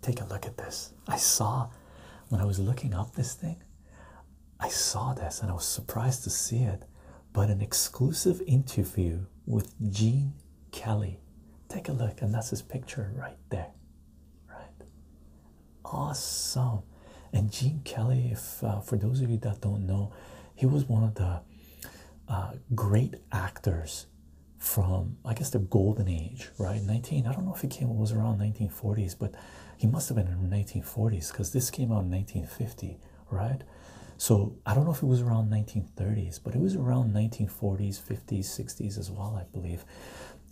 Take a look at this. I saw when I was looking up this thing, I saw this and I was surprised to see it. But an exclusive interview with Gene Kelly. Take a look, and that's his picture right there. Right? Awesome. And Gene Kelly, if uh, for those of you that don't know, he was one of the uh, great actors from I guess the golden age, right? 19. I don't know if he came was around 1940s, but he must have been in 1940s because this came out in 1950, right? So I don't know if it was around 1930s, but it was around 1940s, 50s, 60s as well, I believe.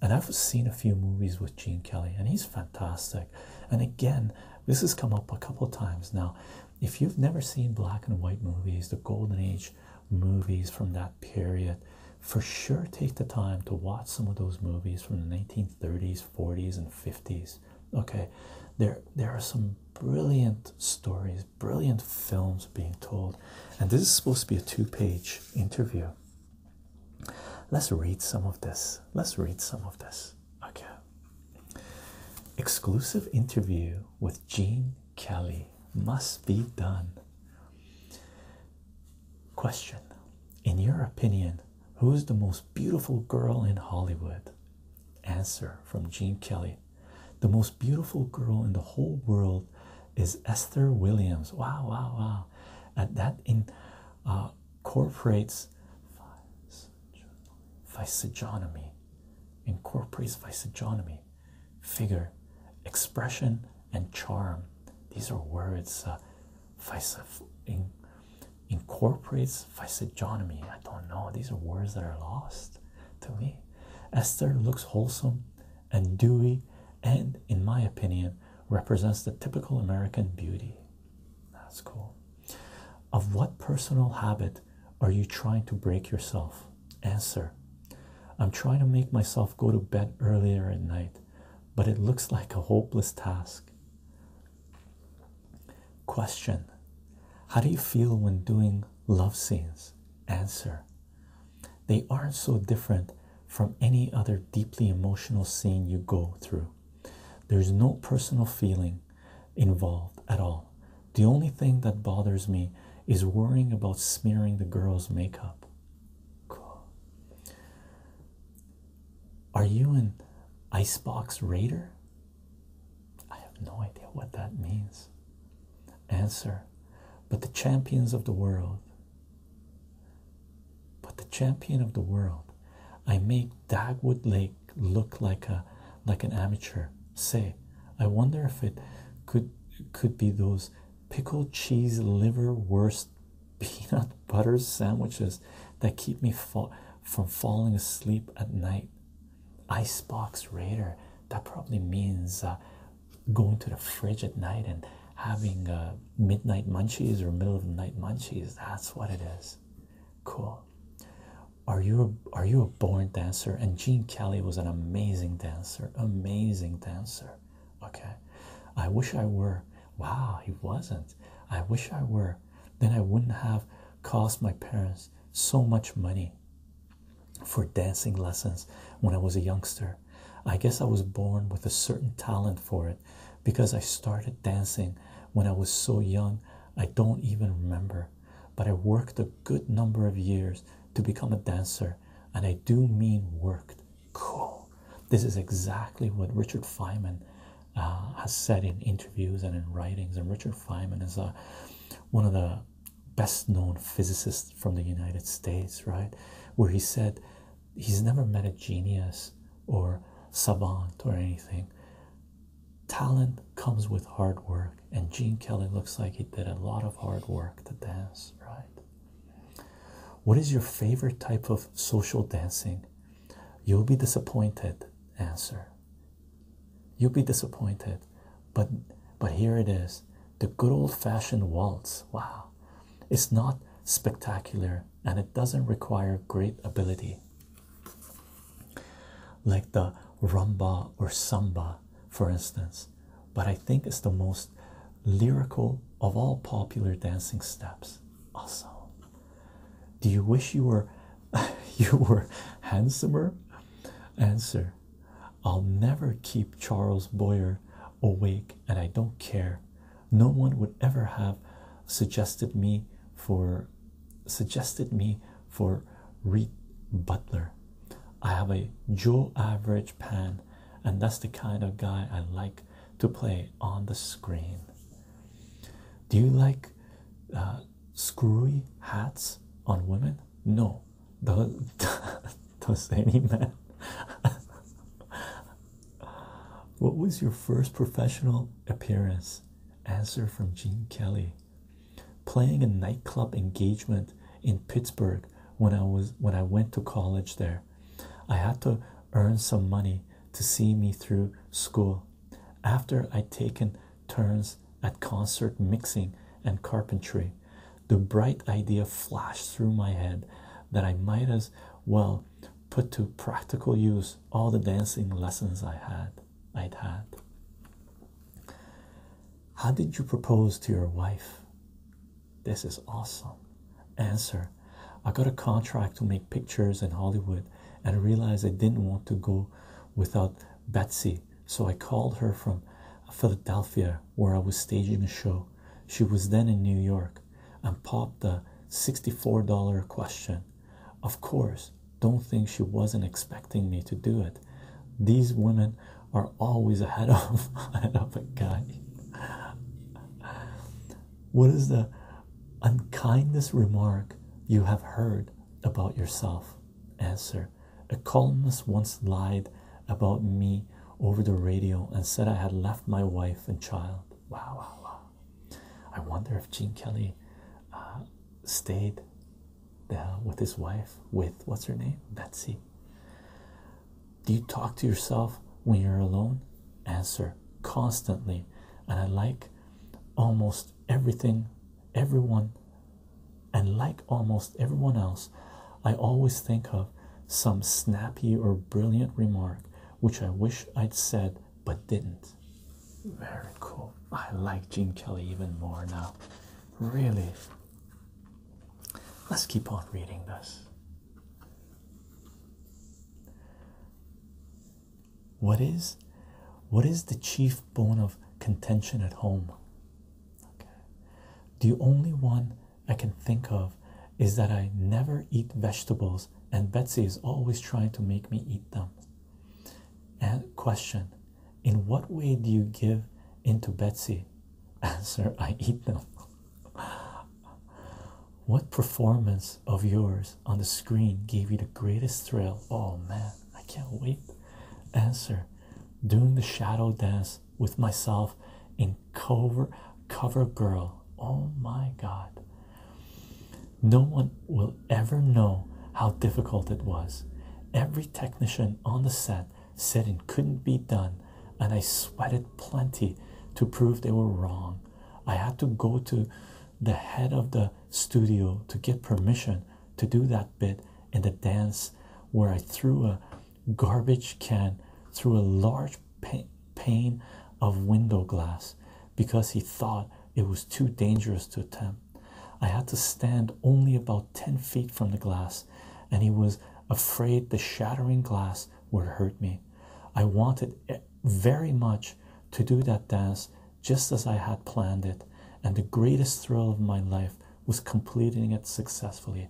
And I've seen a few movies with Gene Kelly, and he's fantastic. And again, this has come up a couple times now. If you've never seen black and white movies, the golden age movies from that period, for sure take the time to watch some of those movies from the 1930s, 40s, and 50s. Okay, there there are some brilliant stories, brilliant films being told, and this is supposed to be a two-page interview. Let's read some of this. Let's read some of this. Okay. Exclusive interview with Gene Kelly must be done. Question In your opinion, who is the most beautiful girl in Hollywood? Answer from Gene Kelly The most beautiful girl in the whole world is Esther Williams. Wow, wow, wow. At that in uh, incorporates physiognomy, incorporates physiognomy, figure, expression, and charm. These are words. Uh, incorporates physiognomy. I don't know. These are words that are lost to me. Esther looks wholesome and dewy and, in my opinion, represents the typical American beauty. That's cool. Of what personal habit are you trying to break yourself? Answer I'm trying to make myself go to bed earlier at night, but it looks like a hopeless task. Question How do you feel when doing love scenes? Answer They aren't so different from any other deeply emotional scene you go through. There's no personal feeling involved at all. The only thing that bothers me is worrying about smearing the girl's makeup. Cool. Are you an ice box raider? I have no idea what that means. Answer. But the champions of the world but the champion of the world, I make Dagwood Lake look like a like an amateur. Say, I wonder if it could could be those pickled cheese liver worst peanut butter sandwiches that keep me fa from falling asleep at night. Icebox Raider. That probably means uh, going to the fridge at night and having uh, midnight munchies or middle of the night munchies. That's what it is. Cool. Are you a, are you a born dancer? And Gene Kelly was an amazing dancer, amazing dancer. Okay, I wish I were. Wow, he wasn't. I wish I were. Then I wouldn't have cost my parents so much money for dancing lessons when I was a youngster. I guess I was born with a certain talent for it because I started dancing when I was so young, I don't even remember. But I worked a good number of years to become a dancer, and I do mean worked. Cool. This is exactly what Richard Feynman uh, has said in interviews and in writings. And Richard Feynman is a, uh, one of the best known physicists from the United States, right? Where he said he's never met a genius or savant or anything. Talent comes with hard work, and Gene Kelly looks like he did a lot of hard work to dance, right? What is your favorite type of social dancing? You'll be disappointed. Answer. You'll be disappointed, but but here it is. The good old fashioned waltz. Wow. It's not spectacular and it doesn't require great ability like the rumba or samba, for instance, but I think it's the most lyrical of all popular dancing steps. Awesome. Do you wish you were you were handsomer? Answer. I'll never keep Charles Boyer awake and I don't care. No one would ever have suggested me for suggested me for Reed Butler. I have a Joe average pan, and that's the kind of guy I like to play on the screen. Do you like uh, screwy hats on women? No, does does any man what was your first professional appearance answer from gene kelly playing a nightclub engagement in pittsburgh when i was when i went to college there i had to earn some money to see me through school after i'd taken turns at concert mixing and carpentry the bright idea flashed through my head that I might as well put to practical use all the dancing lessons I had I'd had. How did you propose to your wife? This is awesome. Answer I got a contract to make pictures in Hollywood and realized I didn't want to go without Betsy, so I called her from Philadelphia where I was staging a show. She was then in New York and popped the $64 question. Of course, don't think she wasn't expecting me to do it. These women are always ahead of, ahead of a guy. What is the unkindest remark you have heard about yourself? Answer A columnist once lied about me over the radio and said I had left my wife and child. Wow, wow, wow. I wonder if Gene Kelly uh, stayed uh, with his wife, with what's her name? Betsy. Do you talk to yourself when you're alone? Answer constantly. And I like almost everything, everyone and like almost everyone else, I always think of some snappy or brilliant remark which I wish I'd said but didn't. Very cool. I like Gene Kelly even more now. Really. Let's keep on reading this. What is what is the chief bone of contention at home? The only one I can think of is that I never eat vegetables, and Betsy is always trying to make me eat them. question In what way do you give into Betsy? Answer I eat them. what performance of yours on the screen gave you the greatest thrill? Oh man, I can't wait. Answer doing the shadow dance with myself in cover cover girl oh my god no one will ever know how difficult it was every technician on the set said it couldn't be done and i sweated plenty to prove they were wrong i had to go to the head of the studio to get permission to do that bit in the dance where I threw a garbage can through a large pane of window glass because he thought it was too dangerous to attempt. I had to stand only about 10 feet from the glass, and he was afraid the shattering glass would hurt me. I wanted very much to do that dance just as I had planned it, and the greatest thrill of my life was completing it successfully.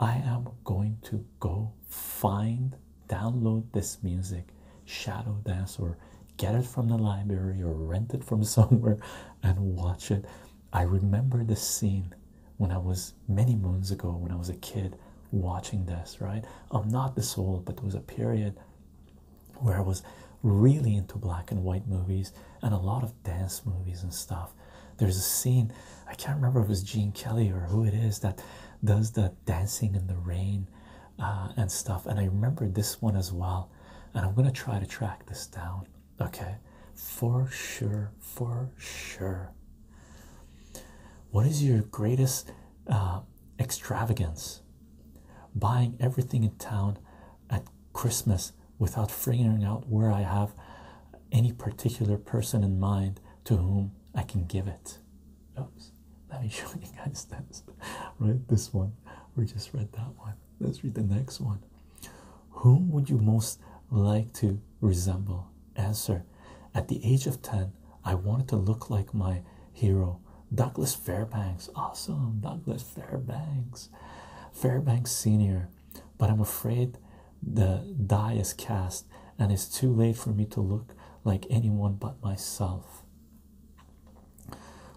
I am going to go find, download this music, shadow dance, or get it from the library or rent it from somewhere and watch it. I remember the scene when I was many moons ago when I was a kid watching this, right? I'm not this old, but there was a period where I was really into black and white movies and a lot of dance movies and stuff. There's a scene, I can't remember if it was Gene Kelly or who it is that does the dancing in the rain uh, and stuff. And I remember this one as well. And I'm going to try to track this down, okay? For sure, for sure. What is your greatest uh, extravagance? Buying everything in town at Christmas without figuring out where I have any particular person in mind to whom I can give it. let me show you guys this. Right, this one. We just read that one. Let's read the next one. Whom would you most like to resemble? Answer At the age of 10, I wanted to look like my hero Douglas Fairbanks. Awesome, Douglas Fairbanks, Fairbanks Senior. But I'm afraid the die is cast, and it's too late for me to look like anyone but myself.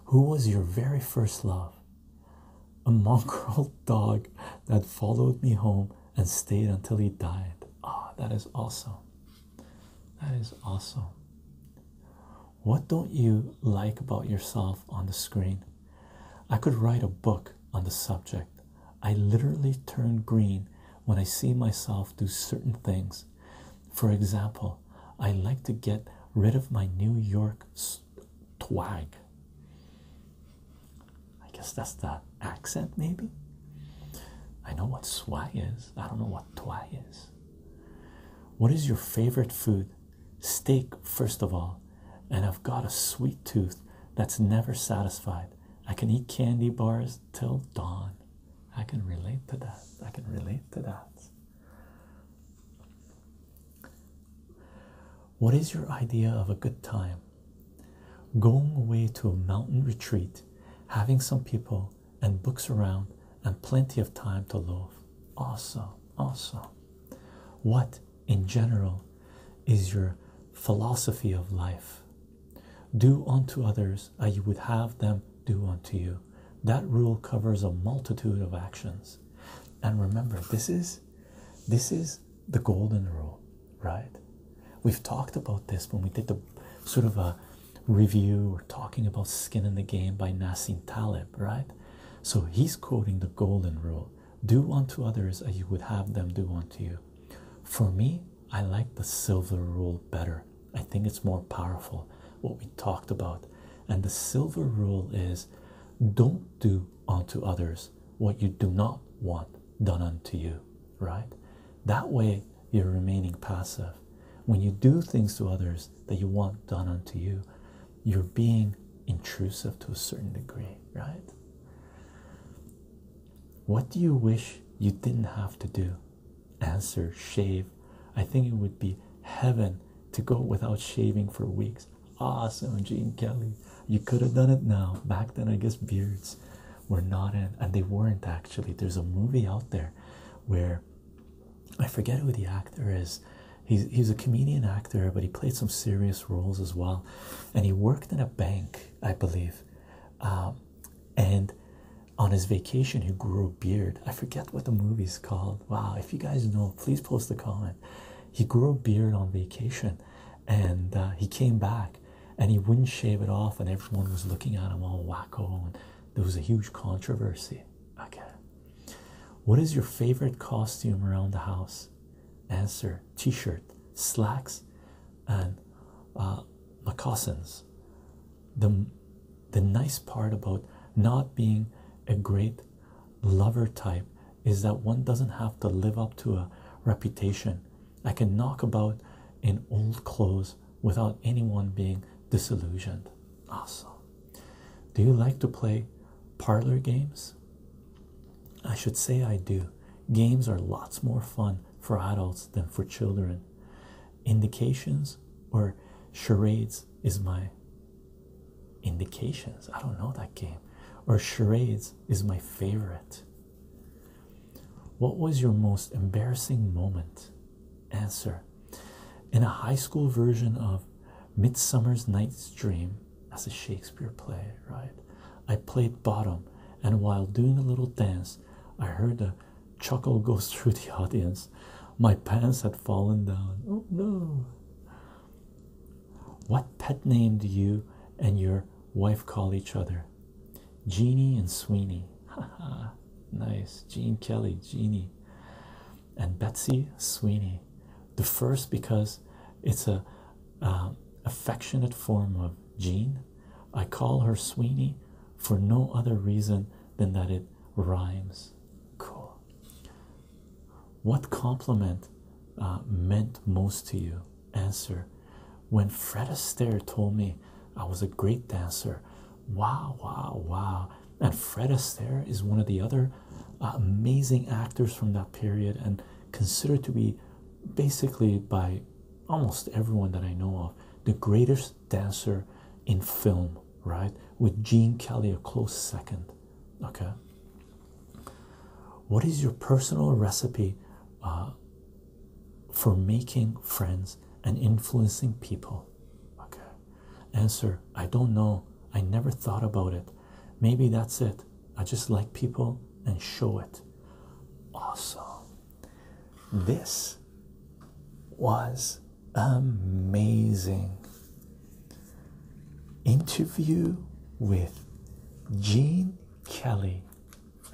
Who was your very first love? A mongrel dog that followed me home and stayed until he died. Ah, that is awesome. That is awesome. What don't you like about yourself on the screen? I could write a book on the subject. I literally turn green when I see myself do certain things. For example, I like to get rid of my New York twag. I guess that's the accent, maybe. I know what swag is, I don't know what twag is. What is your favorite food? Steak, first of all. And I've got a sweet tooth that's never satisfied. I can eat candy bars till dawn. I can relate to that. I can relate to that. What is your idea of a good time? Going away to a mountain retreat, having some people and books around and plenty of time to loaf. Awesome, awesome. What, in general, is your philosophy of life? Do unto others as you would have them do unto you. That rule covers a multitude of actions. And remember, this is this is the golden rule, right? We've talked about this when we did the sort of a review We're talking about skin in the game by Nasim Taleb, right? So he's quoting the golden rule do unto others as you would have them do unto you. For me, I like the silver rule better. I think it's more powerful, what we talked about. And the silver rule is don't do unto others what you do not want done unto you, right? That way, you're remaining passive. When you do things to others that you want done unto you, you're being intrusive to a certain degree, right? What do you wish you didn't have to do? Answer shave. I think it would be heaven to go without shaving for weeks. Awesome, Gene Kelly. You could have done it now. Back then, I guess beards were not in, and they weren't actually. There's a movie out there where I forget who the actor is. He's a comedian actor, but he played some serious roles as well. And he worked in a bank, I believe. Um, and on his vacation, he grew a beard. I forget what the movie is called. Wow, if you guys know, please post a comment. He grew a beard on vacation, and uh, he came back, and he wouldn't shave it off, and everyone was looking at him all wacko and there was a huge controversy. Okay. What is your favorite costume around the house? Answer T shirt, slacks, and uh, moccasins. The, the nice part about not being a great lover type is that one doesn't have to live up to a reputation I can knock about in old clothes without anyone being disillusioned. Also, Do you like to play parlor games? I should say I do. Games are lots more fun for adults than for children. Indications or charades is my indications. I don't know that game. Or charades is my favorite. What was your most embarrassing moment? Answer In a high school version of Midsummer's Night's Dream, as a Shakespeare play, right? I played bottom, and while doing a little dance, I heard a chuckle go through the audience. My pants had fallen down. Oh no! What pet name do you and your wife call each other? Jeanie and Sweeney. nice. Gene Kelly, Jeanie, and Betsy Sweeney. The first because it's a affectionate form of Jean. I call her Sweeney for no other reason than that it rhymes. Cool. What compliment uh, meant most to you? answer when Fred Astaire told me I was a great dancer. Wow, wow, wow. And Fred Astaire is one of the other uh, amazing actors from that period and considered to be basically by almost everyone that I know of the greatest dancer in film, right? With Gene Kelly a close second. Okay. What is your personal recipe uh, for making friends and influencing people? Okay. Answer I don't know. I never thought about it. Maybe that's it. I just like people and show it. Awesome. This was amazing. Interview with Gene Kelly,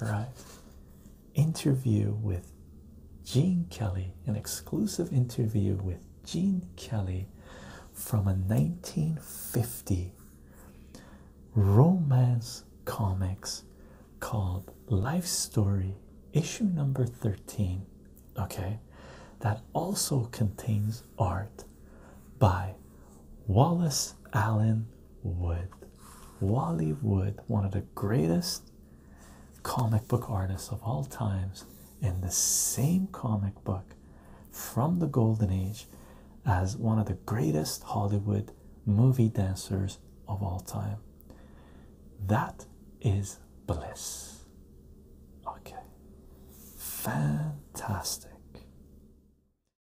right? interview with Gene Kelly, an exclusive interview with Gene Kelly from a 1950 romance comics called Life Story, issue number 13. Okay, that also contains art by Wallace Allen Wood. Wally Wood, one of the greatest comic book artists of all times, in the same comic book from the Golden Age as one of the greatest Hollywood movie dancers of all time. That is bliss. Okay, fantastic.